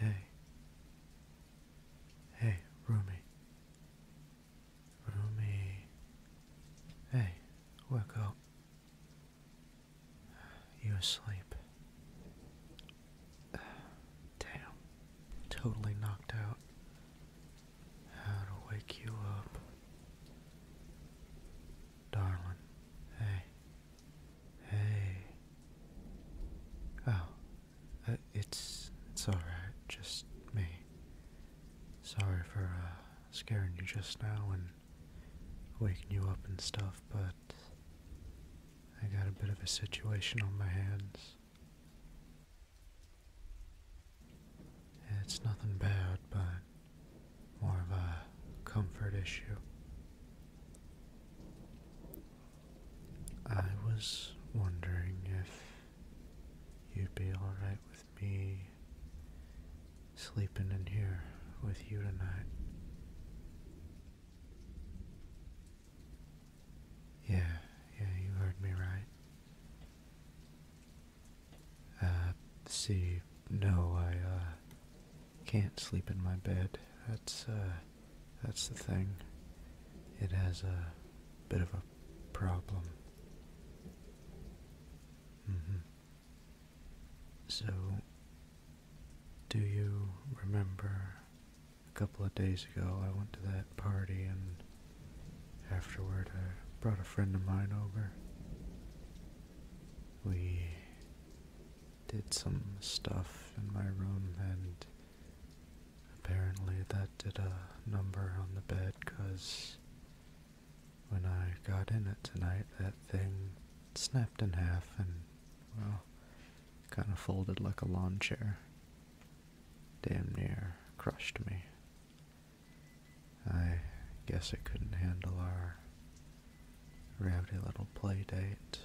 Hey. Hey, Rumi. Rumi. Hey, wake up. You asleep. Damn. Totally knocked out how to wake you up. Darling, hey. Hey. Oh, uh, it's it's all right, just me. Sorry for uh, scaring you just now and waking you up and stuff, but I got a bit of a situation on my hands. It's nothing bad, but more of a comfort issue. I was wondering if you'd be alright with me sleeping in here with you tonight. Yeah, yeah, you heard me right. Uh, see, no, I, uh, can't sleep in my bed. That's, uh, that's the thing. It has a bit of a problem. Mm-hmm. So, do you remember a couple of days ago I went to that party and Afterward, I brought a friend of mine over. We did some stuff in my room, and apparently that did a number on the bed because when I got in it tonight, that thing snapped in half and, well, kind of folded like a lawn chair. Damn near crushed me. I guess it couldn't handle our rowdy little play date.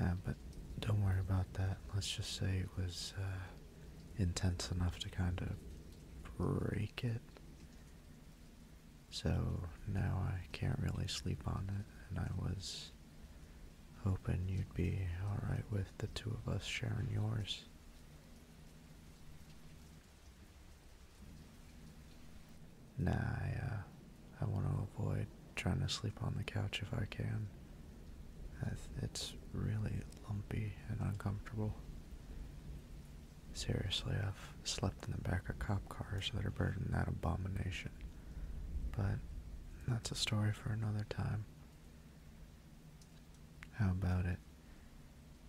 Ah, but don't worry about that. Let's just say it was uh, intense enough to kind of break it. So now I can't really sleep on it, and I was hoping you'd be alright with the two of us sharing yours. Nah, I, uh, I want to avoid trying to sleep on the couch if I can. It's really lumpy and uncomfortable. Seriously, I've slept in the back of cop cars that are burning that abomination. But that's a story for another time. How about it?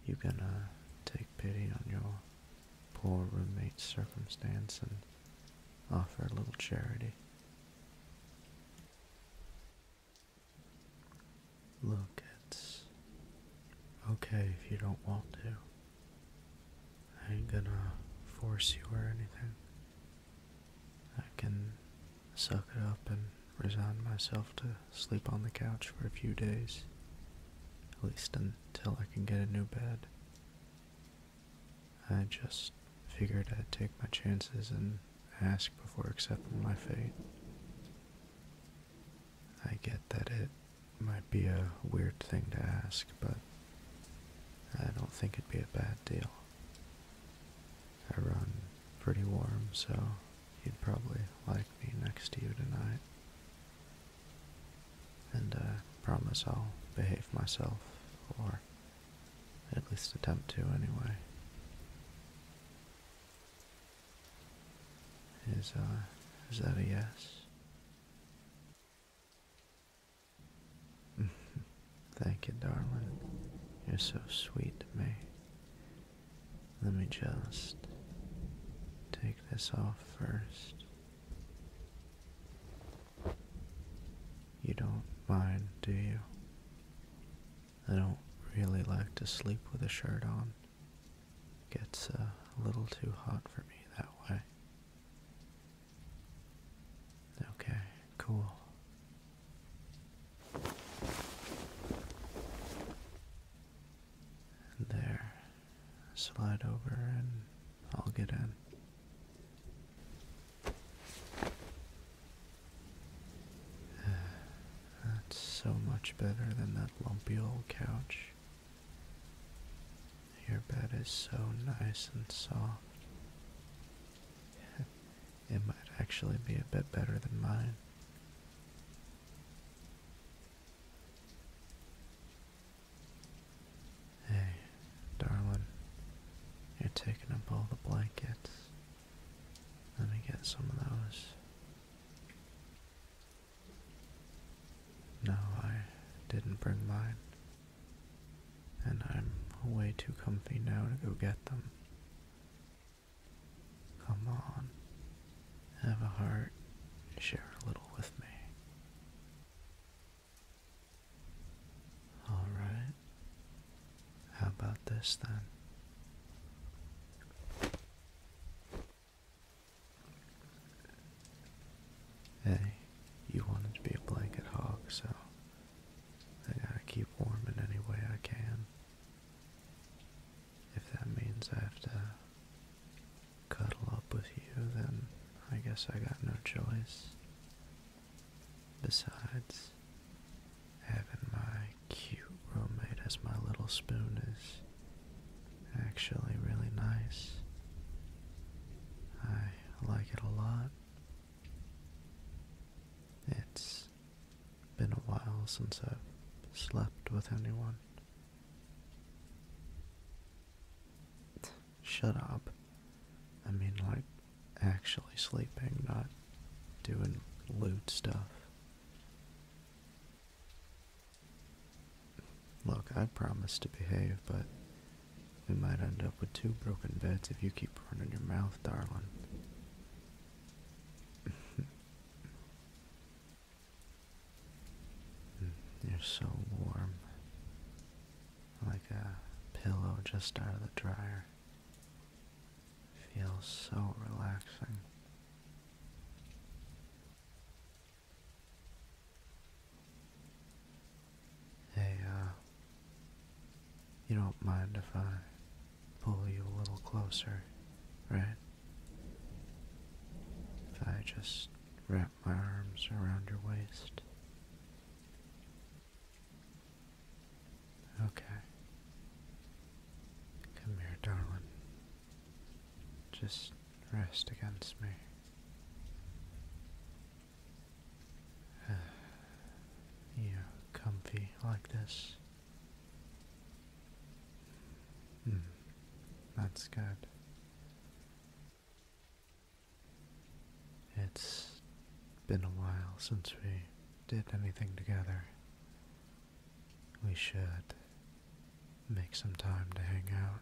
You gonna take pity on your poor roommate's circumstance and offer a little charity? Look, it's okay if you don't want to. I ain't gonna force you or anything. I can suck it up and resign myself to sleep on the couch for a few days. At least until I can get a new bed. I just figured I'd take my chances and ask before accepting my fate. I get that it might be a weird thing to ask, but I don't think it'd be a bad deal. I run pretty warm, so you'd probably like me next to you tonight. And uh, promise I'll behave myself, or at least attempt to anyway. Is, uh, is that a yes? Thank you, darling. You're so sweet to me. Let me just take this off first. You don't mind, do you? I don't really like to sleep with a shirt on. It gets uh, a little too hot for me that way. Okay, cool there. Slide over and I'll get in. That's so much better than that lumpy old couch. Your bed is so nice and soft. It might actually be a bit better than mine. Hey, darling, you're taking up all the blankets. Let me get some of those. No, I didn't bring mine. And I'm way too comfy now to go get them. Come on, have a heart, share a little with me. Alright, how about this then? Hey, you wanted to be a blanket hog, so I gotta keep warm in any way I can. If that means I have to cuddle up with you, then I guess I got no choice. Besides, having my cute roommate as my little spoon is actually really nice. I like it a lot. It's been a while since I've slept with anyone. Shut up. I mean, like, actually sleeping, not doing loot stuff. Look, I promised to behave, but we might end up with two broken beds if you keep running your mouth, darling. Mm, you're so warm, like a pillow just out of the dryer. Feels so relaxing. Hey, uh, you don't mind if I pull you a little closer, right? If I just wrap my arms around your waist. Okay. Come here, darling. Just rest against me. Yeah, comfy like this. Hmm. that's good. It's been a while since we did anything together. We should make some time to hang out,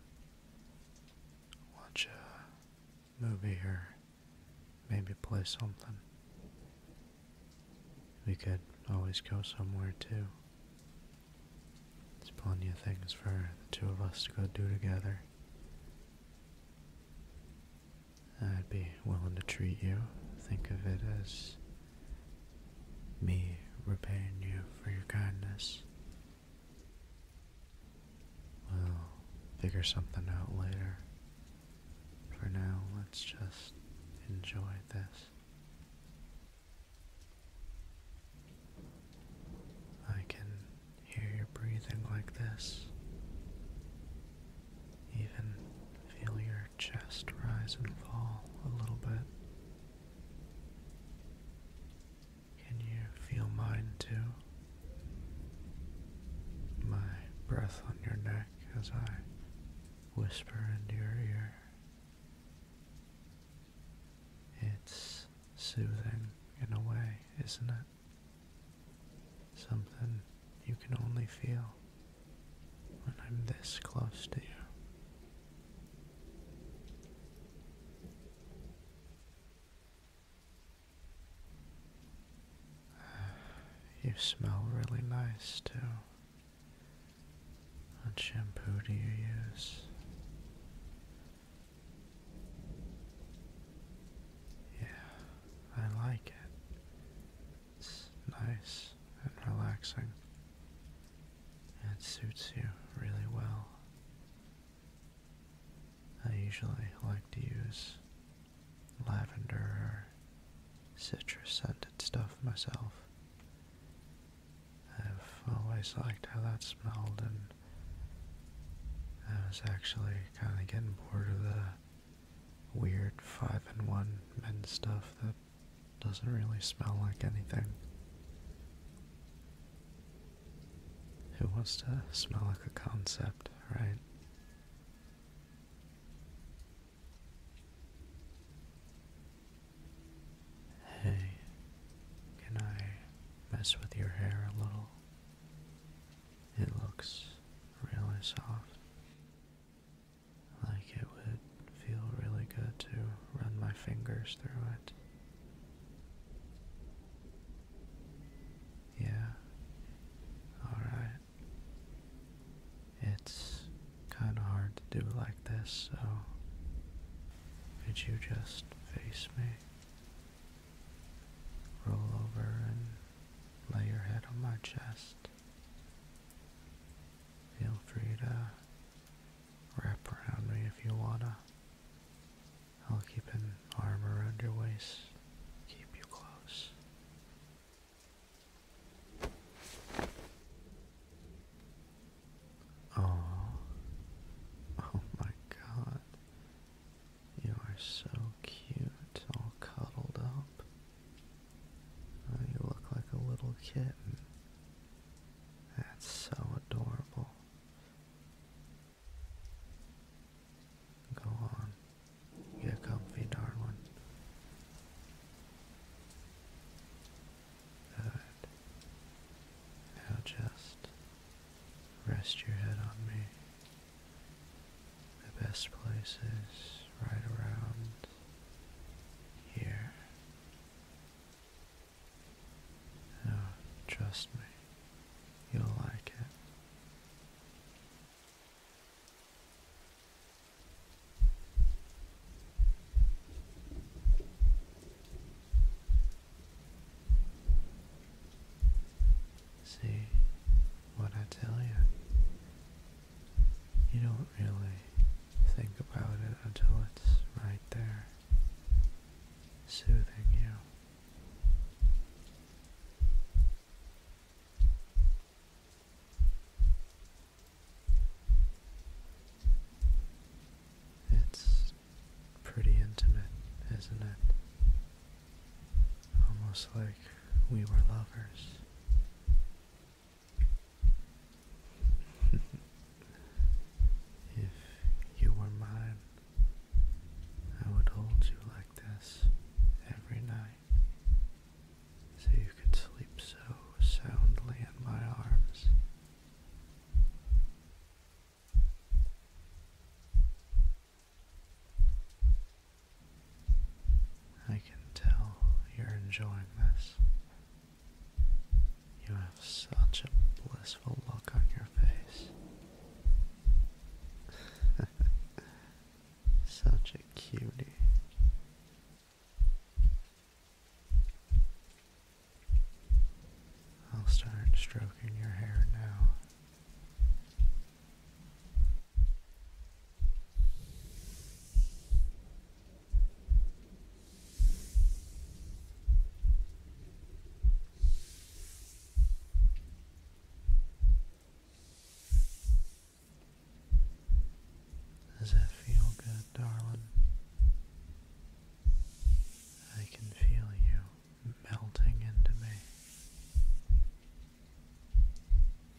watch a movie, or maybe play something. We could always go somewhere too. There's plenty of things for the two of us to go do together. I'd be willing to treat you. Think of it as me repaying you for your kindness. We'll figure something out later. For now, let's just enjoy this. I can hear your breathing like this, even feel your chest rise and fall a little bit. Can you feel mine too? My breath on your neck as I whisper into your ear. It's soothing in a way, isn't it? Something you can only feel when I'm this close to you. You smell really nice too. What shampoo do you use? Yeah, I like it. It's nice and relaxing. It suits you really well. I usually like to use lavender or citrus scented stuff myself. I've always liked how that smelled, and I was actually kind of getting bored of the weird 5 in 1 men stuff that doesn't really smell like anything. Who wants to smell like a concept, right? Hey, can I mess with your hair a little? It looks really soft. Like it would feel really good to run my fingers through it. Yeah. Alright. It's kind of hard to do like this, so could you just face me? Roll over and lay your head on my chest. Feel free to wrap around me if you wanna. I'll keep an arm around your waist, keep you close. Oh, oh my God. You are so cute, all cuddled up. Oh, you look like a little kitten. That's so adorable. Go on. Get comfy, darling. Good. Now just rest your head on me. The best place is right around here. Now, trust me, you'll like it. See what I tell you. You don't really think about it until it's right there, soothing you. It's pretty intimate, isn't it? Almost like we were lovers. if you were mine, I would hold you like this every night so you could sleep so soundly in my arms. I can tell you're enjoying this. You have such a blissful look on your face. such a cutie. I'll start stroking your hair now. Does that feel good, darling? I can feel you melting into me.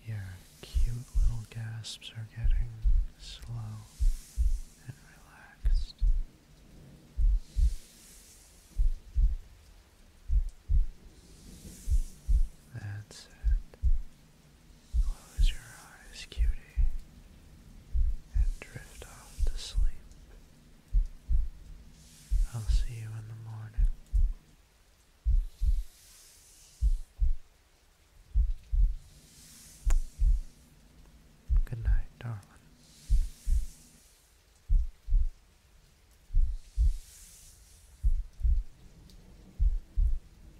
Your cute little gasps are getting slow and relaxed. That's it. Close your eyes, cutie, and drift off to sleep. I'll see you in the morning. Good night, darling.